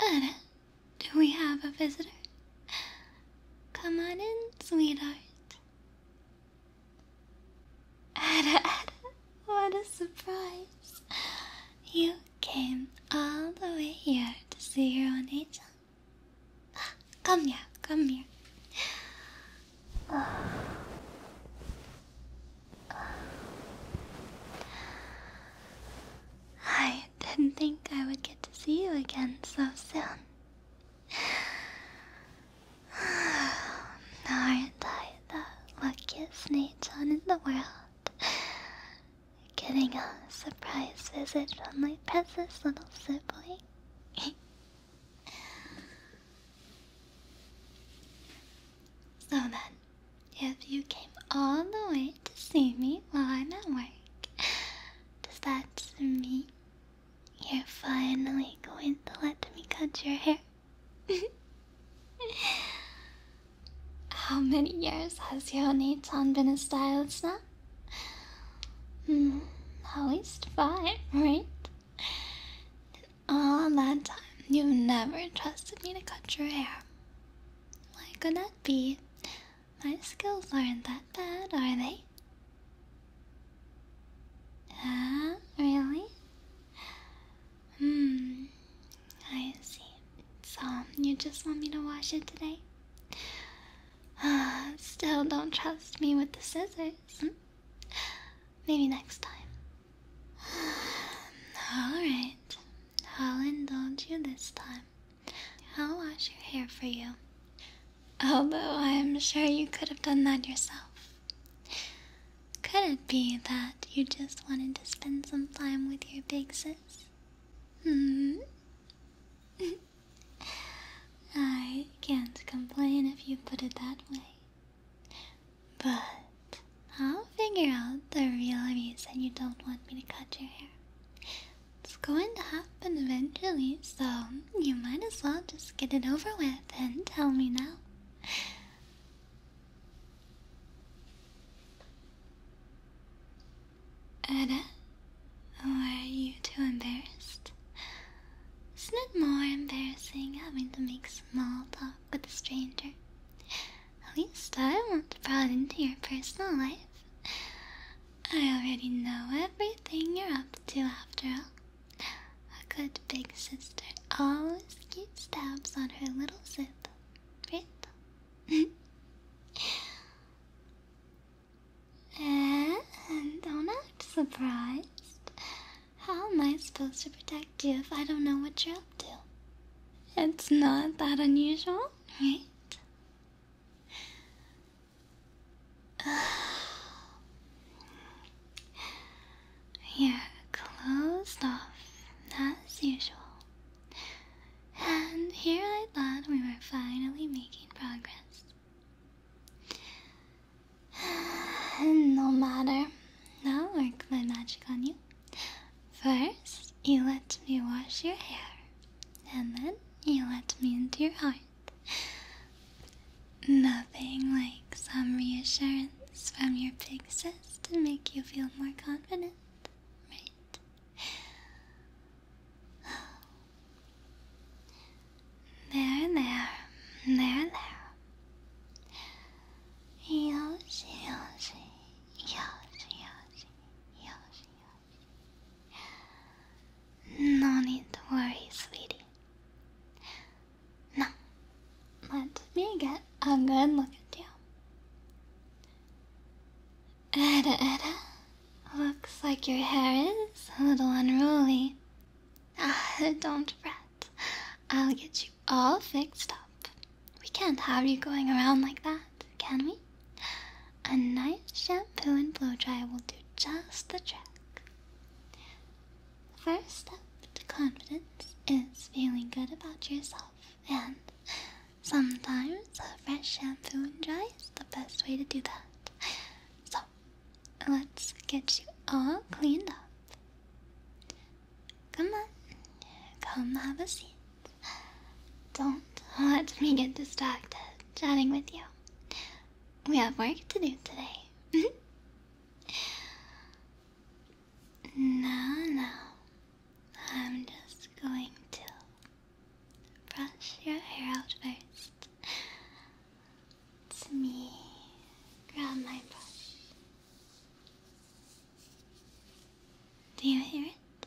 Ada, do we have a visitor? Come on in, sweetheart. Ada, Ada, what a surprise. You came all the way here to see your own angel. Come here, come here. Hi, I didn't think I would get to see you again so soon. Aren't I the luckiest Nathan in the world? Getting a surprise visit from my precious little sibling. so then, if you came all the way to see me while I'm at work, does that mean you're finally going to let me cut your hair? How many years has Yone-chan been a stylist now? Hmm, at least five, right? all that time, you never trusted me to cut your hair. Like an be? My skills aren't that bad, are they? Ah, really? Hmm, I see. So, you just want me to wash it today? Ah, still don't trust me with the scissors. Hmm? Maybe next time. Alright, I'll indulge you this time. I'll wash your hair for you. Although I'm sure you could have done that yourself. Could it be that you just wanted to spend some time with your big sis? Hmm? I can't complain if you put it that way. But I'll figure out the real reason you don't want me to cut your hair. It's going to happen eventually, so you might as well just get it over with and tell me now. Ada, are you too embarrassed? Isn't it more embarrassing having to make small talk with a stranger? At least I want brought into your personal life. I already know everything you're up to after all. A good big sister always keeps tabs on her little zip, right? and don't act surprised. How am I supposed to protect you if I don't know what you're up to? It's not that unusual right? you closed off as usual. And here I thought we were finally making progress. no matter, Now, work my magic on you. First, you let me wash your hair, and then you let me into your heart. Nothing like some reassurance from your big sis to make you feel more confident, right? There, there, there, there. Yoshi, Yoshi, Yoshi, Yoshi. No need to worry, sweetie. Now, let me get a good look at you. Eda, Eda, looks like your hair is a little unruly. Ah, don't fret. I'll get you all fixed up. We can't have you going around like that, can we? A nice shampoo and blow dry will do just the trick. The First step to confidence is feeling good about yourself, and sometimes a fresh shampoo and dry is the best way to do that. So, let's get you all cleaned up. Come on, come have a seat. Don't let me get distracted chatting with you. We have work to do today. now, now, I'm just going to brush your hair out first. It's me grab my brush. Do you hear it?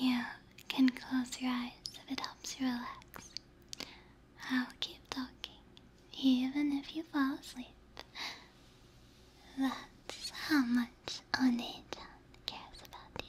You can close your eyes if it helps you relax. I'll keep talking, even if you fall asleep. That's how much Onechan cares about you.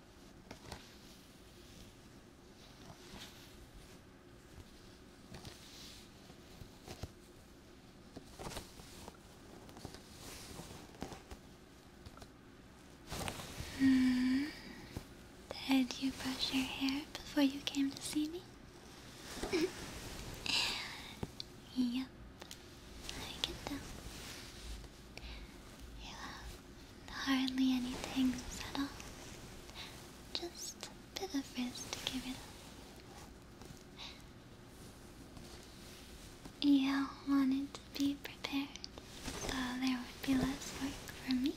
Mm, did you brush your hair before you came to see me? yep, I can tell. You hardly anything at all. Just a bit of frizz to give it up. You wanted to be prepared, so there would be less work for me.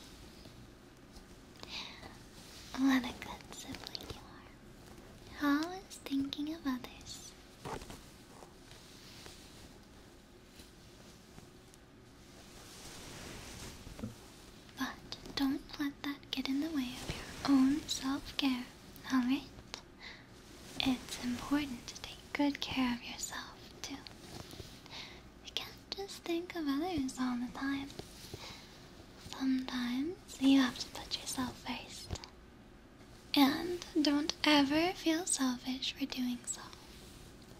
What a good sibling you are. Always thinking of others. But don't let that get in the way of your own self care, alright? It's important to take good care of yourself, too. You can't just think of others all the time. Sometimes you have to put yourself first. And don't ever feel selfish for doing so.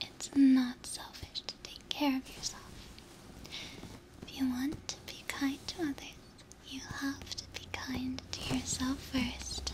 It's not selfish to take care of yourself. If you want to be kind to others, you have to be kind to yourself first.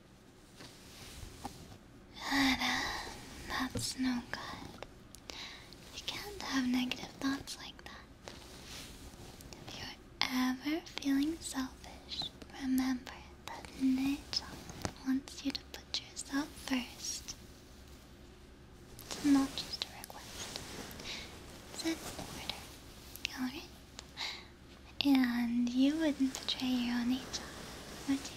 That's no good. You can't have negative thoughts like that. If you're ever feeling selfish, remember that nature wants you to put yourself first. It's not just a request. It's an order, alright? And you wouldn't betray your own nature, would you?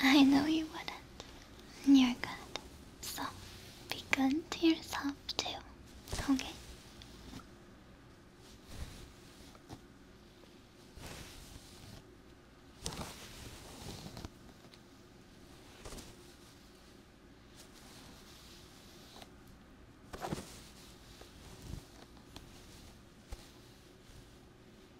I know you wouldn't. You're good. So, be good to yourself too, okay?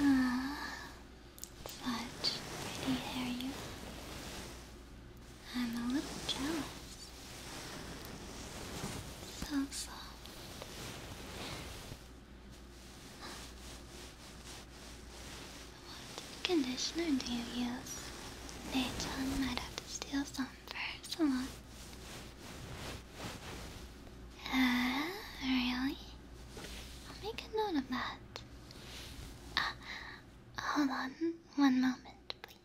Ah, uh, such pretty hair you I'm a little jealous. So soft. What conditioner do you use? Naechan might have to steal some for salon. Uh, really? I'll make a note of that. Uh, hold on one moment, please.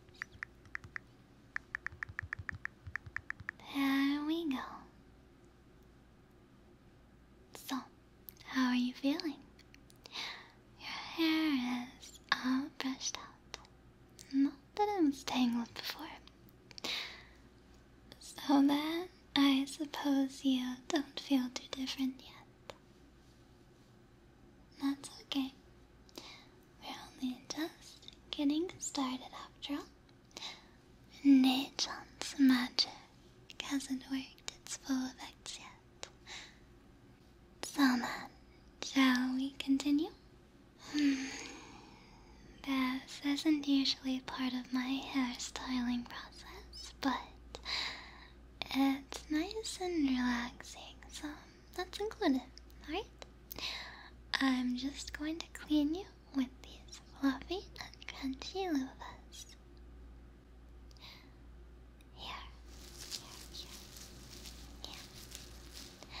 There we go. So, how are you feeling? Your hair is all brushed out. Not that it was tangled before. So then, I suppose you don't feel too different yet. That's okay. We're only just getting started after all. Nature's magic hasn't worked its full effects yet. So then, shall we continue? Hmm. This isn't usually part of of my hairstyling process, but it's nice and relaxing, so that's included, alright? I'm just going to clean you with these fluffy and crunchy loofahs. Here, here, here, here.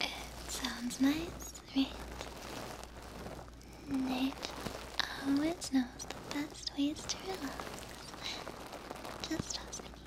It sounds nice, right? Nature always knows the best ways to relax. Just trust me.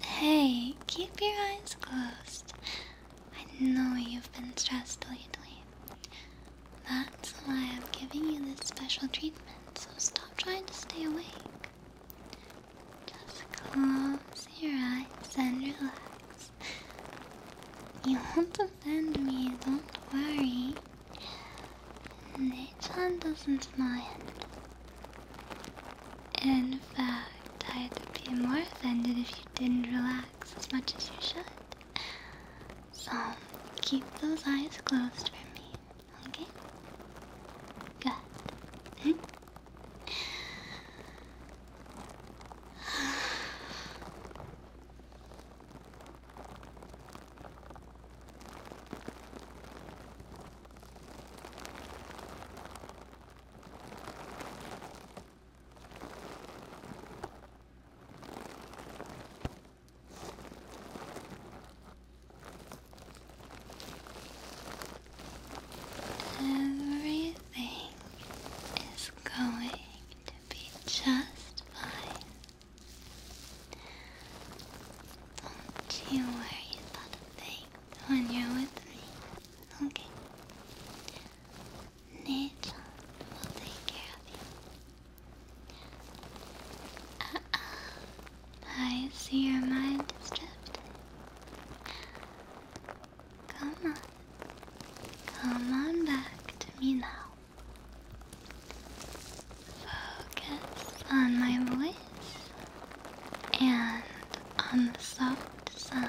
Hey, keep your eyes closed. I know you've been stressed lately. That's why I'm giving you this special treatment, so stop trying to stay awake. Just close your eyes and relax. You won't offend me, don't worry. Nathan doesn't mind. In fact, I'd be more offended if you didn't relax as much as you should. So, keep those eyes closed for me, okay? Good. Hmm? Everything is going to be just fine. Don't you worry about a thing when you're with me. Okay. Nature will take care of you. Uh-uh. I see your mind is Come on. Come on back to me now. Focus on my voice and on the soft sounds.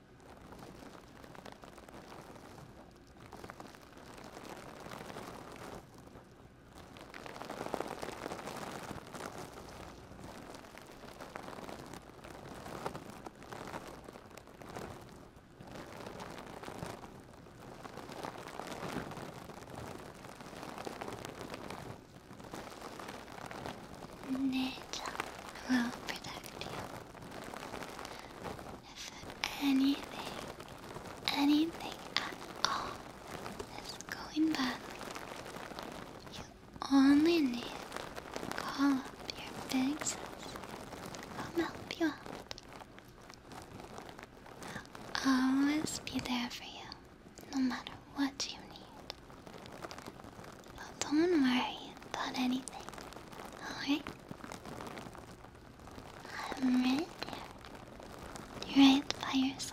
Nature will protect you if anything, anything at all is going bad, you only need call up your friends. sis. I'll help you I'll always be there for you, no matter what you need. But don't worry about anything, alright? I'm right there, right by your side.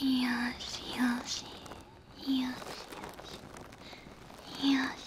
よしよしよしよしよしよし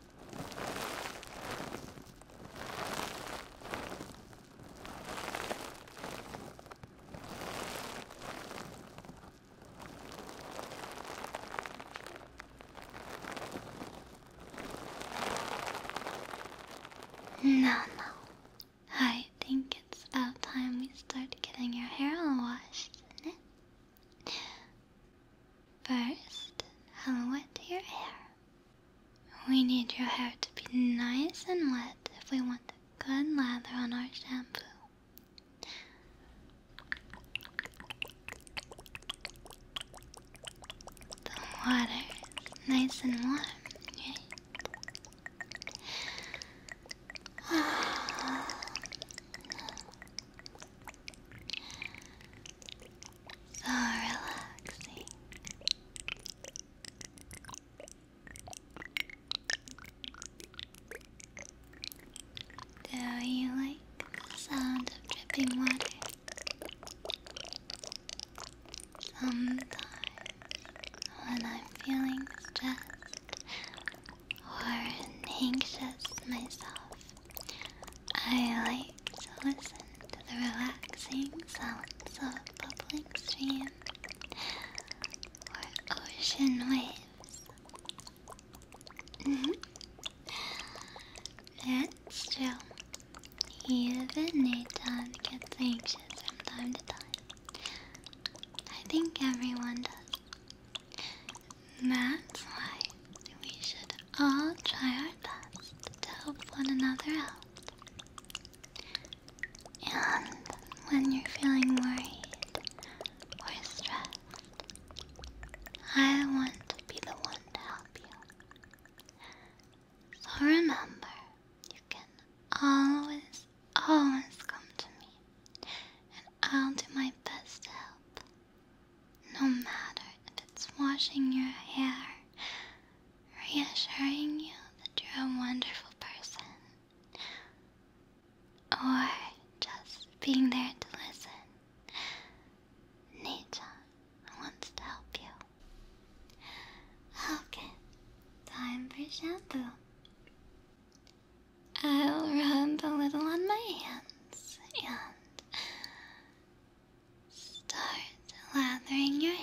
No, no. I think it's about time we start getting your hair all washed, isn't it? First, I'll wet your hair. We need your hair to be nice and wet if we want a good lather on our shampoo. The water is nice and warm, ah. So oh, relaxing. Do you like the sound of dripping water? Sometimes, when I'm feeling stressed or anxious myself, I like to listen to the relaxing sounds of a bubbling stream or ocean waves. Mm-hmm. That's true. Even Nathan gets anxious from time to time. I think everyone does. That's why we should I'll try our best to help one another out. And when you're feeling worried or stressed, I want to be the one to help you. So remember, you can always, always come to me, and I'll do my best to help. No matter if it's washing your hair, reassuring you that you're a wonderful person, or just being there to listen, nature wants to help you. Okay, time for shampoo. I'll rub a little on my hands and Start lathering your hair.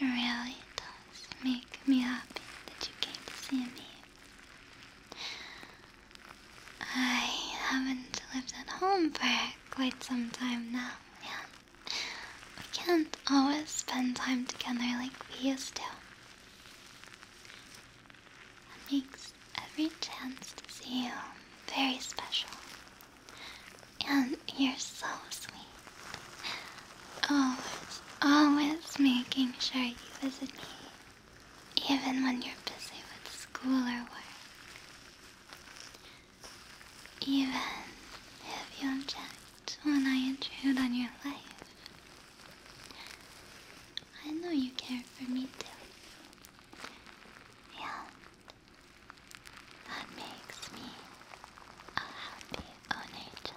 It really does does make me happy that you came to see me. I haven't lived at home for quite some time now, Yeah, we can't always spend time together like we used to. That makes every chance to see you very special. And you're so sweet. Always, oh, always making sure you visit me, even when you're busy with school or work. Even if you object when I intrude on your life. I know you care for me too. Yeah. That makes me a happy own angel.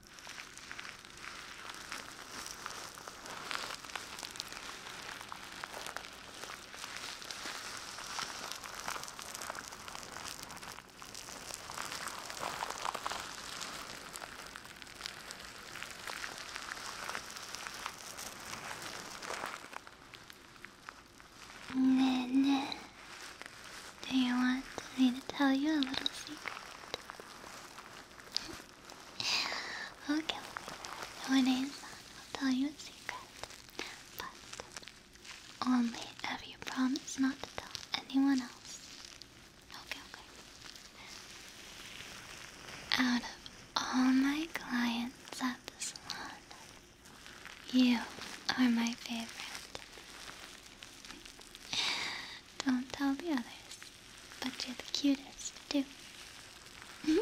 ねえねえ Do you want me to tell you a little secret? okay, what is that? I'll tell you a secret. But only if you promise not to tell anyone else. Okay, okay. Out of all my clients at the salon, you are my favorite. Don't tell the others, but you're the cutest, too.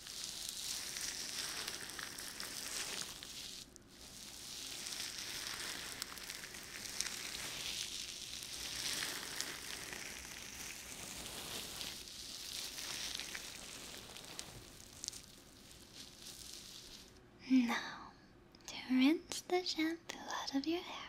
Now, to rinse the shampoo out of your hair,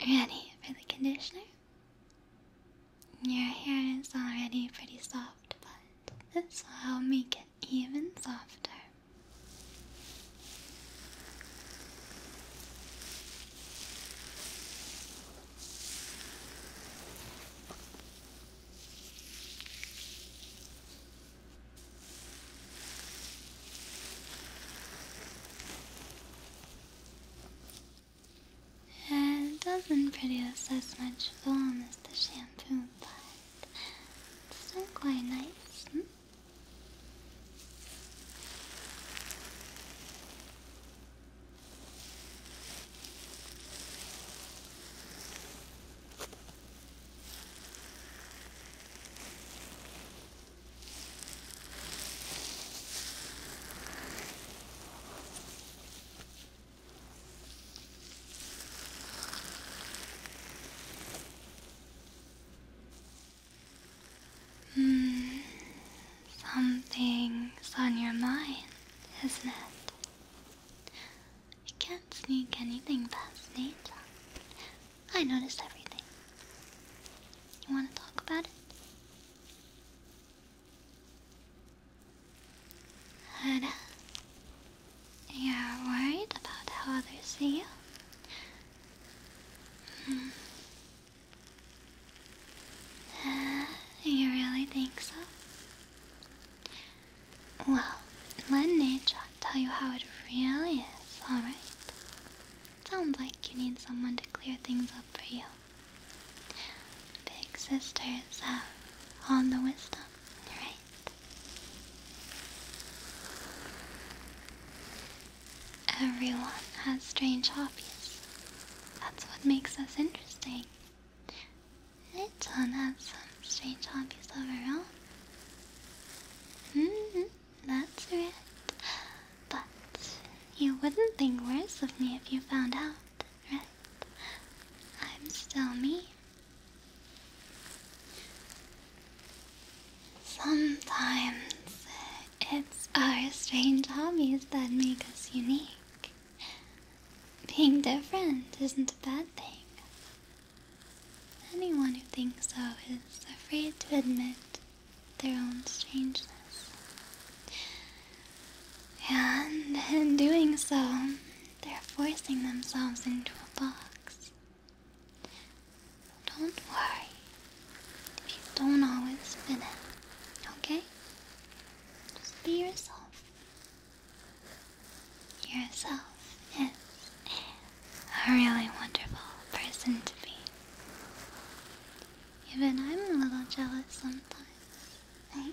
Ready for the conditioner? Your hair is already pretty soft, but this will make it even softer. It doesn't produce as much foam as the shampoo, but it's still quite nice. Hmm? Hmm, something's on your mind, isn't it? You can't sneak anything past me. I noticed everything. You want to talk about it? Good. You're worried about how others see you? Hmm. Uh, you really think so? Well, let nature tell you how it really is, alright? Sounds like you need someone to clear things up for you. Big sisters have all the wisdom, right? Everyone has strange hobbies. That's what makes us interesting, Letton have some strange hobbies of her own. hmm, that's right. But you wouldn't think worse of me if you found out, right? I'm still me. Sometimes it's our strange hobbies that make us unique. Being different isn't a bad thing. Anyone who thinks so is afraid to admit their own strangeness. And in doing so, they're forcing themselves into a box. Don't worry you don't always fit in, okay? Just be yourself. Yourself is a really wonderful person to be. Even I'm a little jealous sometimes. Right?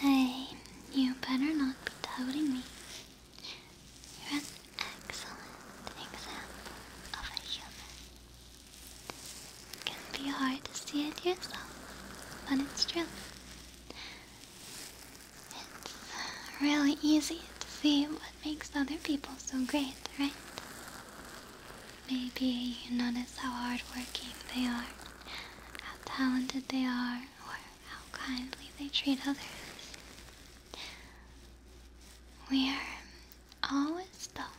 Hey, you better not be doubting me. You're an excellent example of a human. It can be hard to see it yourself, but it's true. It's really easy to see what makes other people so great, right? Maybe you notice how hardworking they are, how talented they are, or how kindly they treat others. We are always stuck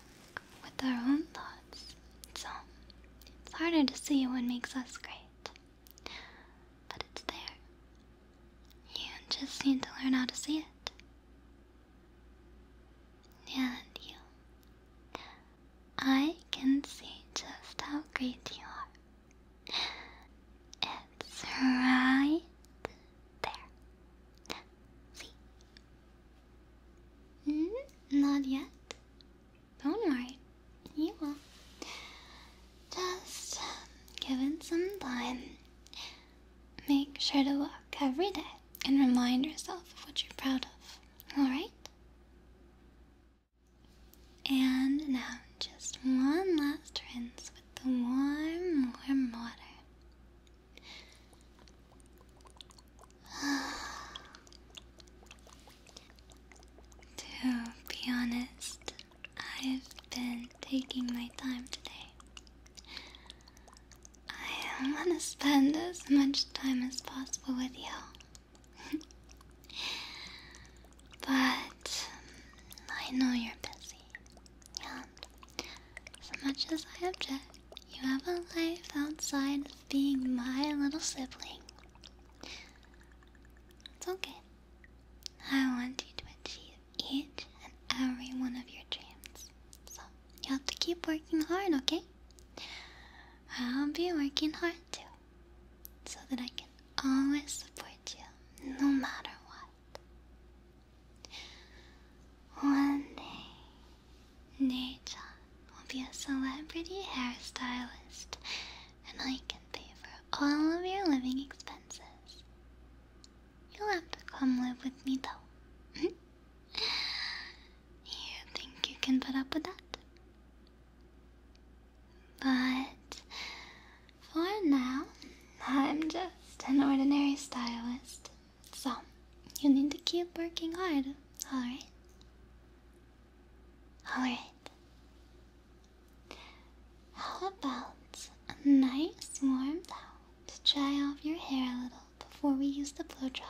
with our own thoughts, so it's harder to see what makes us great. But it's there. You just need to learn how to see it. And you. I can see just how great you are. It's right there. See? Mm, not yet. Don't worry. You will. Just um, give it some time. Make sure to walk every day and remind yourself of what you're proud of. Alright? And now just one last rinse with the warm, warm water. to be honest, I've been taking my time today. I want to spend as much time as possible with you. but I know you're busy. Yeah. As much as I object, you have a life outside of being my little sibling. It's okay. I want you to achieve each and every one of your dreams. So, you have to keep working hard, okay? I'll be working hard too, so that I can always support you, no matter what. One day, Nature will be a celebrity hairstylist and I can pay for all of your living expenses. You'll have to come live with me though. Hmm? you think you can put up with that? But for now, I'm just an ordinary stylist. So, you need to keep working hard, alright? Alright. How about a nice warm towel to dry off your hair a little before we use the blow dryer?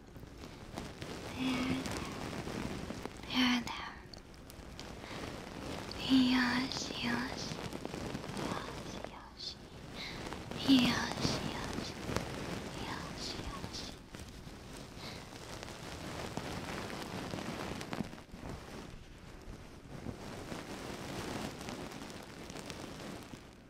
There, there, there. Yes, Yes, yes. Yes, yes. Yes, yes.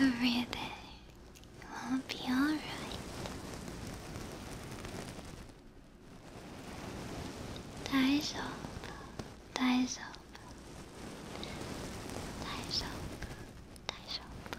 Everything will be alright. Daijoubu, daijoubu, daijoubu, daijoubu.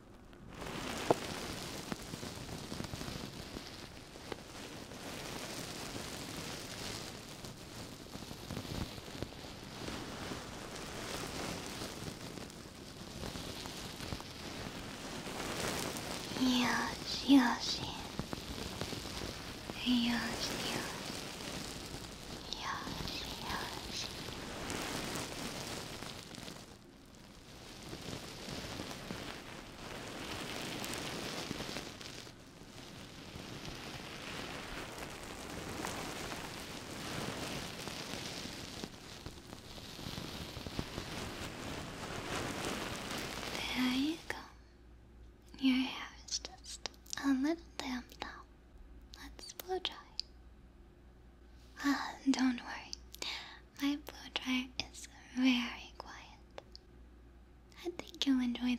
よしよしよしよし Yoshi, Yoshi. There you go. Your hair is just a little damp now. Let's blow dry. Ah, don't worry. My blow dryer is very quiet. I think you'll enjoy the noise.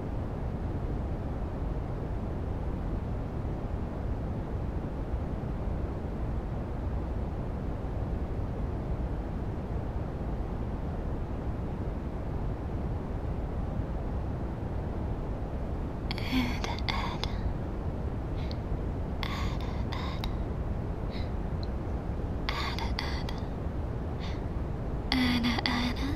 Anna, Anna.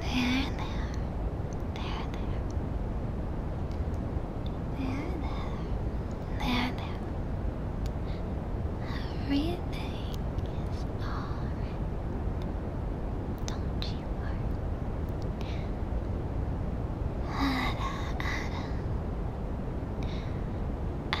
There, there, there, there. Nana, Nana, everything is alright. Don't you worry. Ada, Ada, Ada, Ada.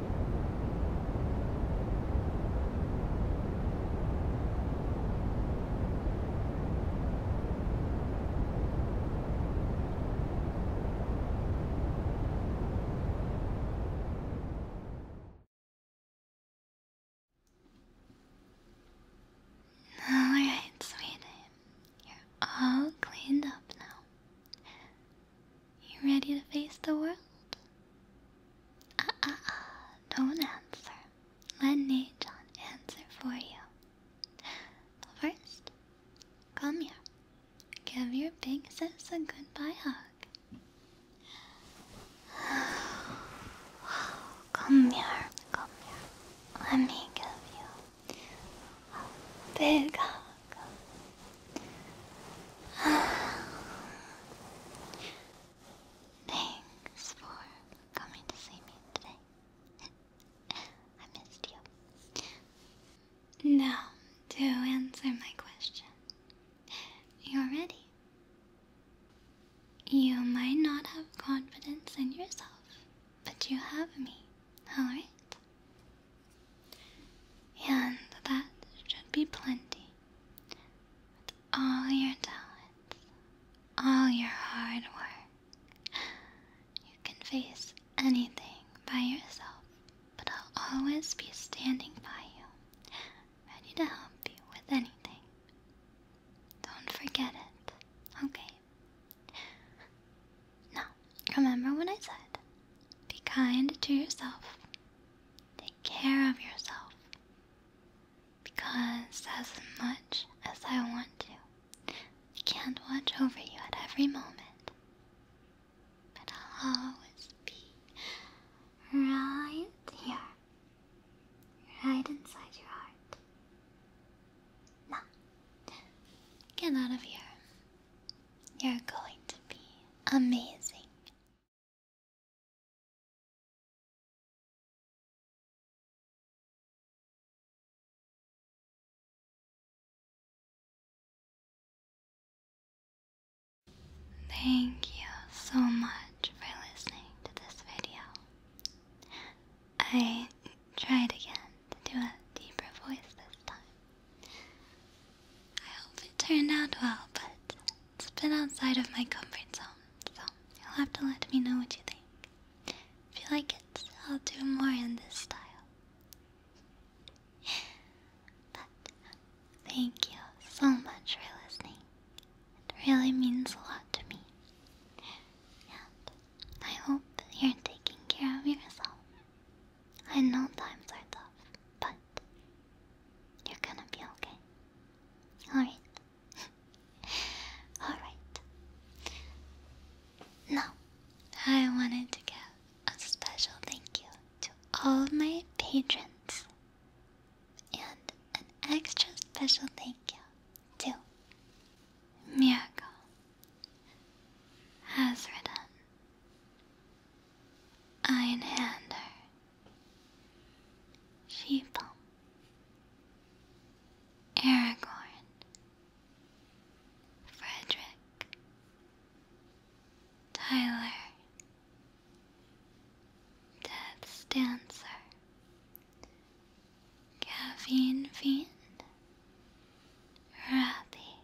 Alright, sweetie. You're all cleaned up now. You ready to face the world? Ah, ah, ah, don't answer. Let Najon answer for you. But first, come here. Give your big sis a goodbye hug. Come here, come here. Let me give you a big hug welcome. Thanks for coming to see me today. I missed you. Now, to answer my question, you're ready. You might not have confidence in yourself, but you have me, alright? And that should be plenty. With all your talents, all your hard work, you can face anything by yourself, but I'll always be standing by you, ready to help you with anything. Don't forget it, okay? Now, remember what I said. Be kind to yourself. Take care of yourself. Because, as much as I want to, I can't watch over you at every moment. But I'll always be right here, right inside your heart. Now, get out of here. You're going to be amazing. Thank you so much for listening to this video. I tried again to do a deeper voice this time. I hope it turned out well, but it's been outside of my comfort zone, so you'll have to let me know what you think. If you like it, I'll do more in this style. But thank you so much for listening. It really means a lot to me. And I hope you're taking care of yourself. I know times are tough, but you're gonna be okay. Alright. Alright. Now, I wanted to give a special thank you to all my patrons and an extra special thank you to Miracle, Hazredan, Iron Hander, Sheeple, Eragon, Frederick, Tyler, Death's Dancer, Caffeine Fiend, Rathy,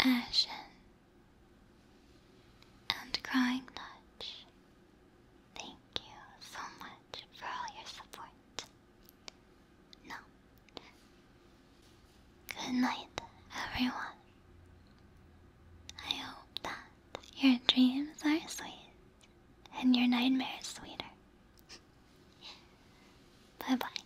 ashen and crying touch. Thank you so much for all your support. No. Good night, everyone. I hope that your dreams are sweet and your nightmares sweeter. bye bye.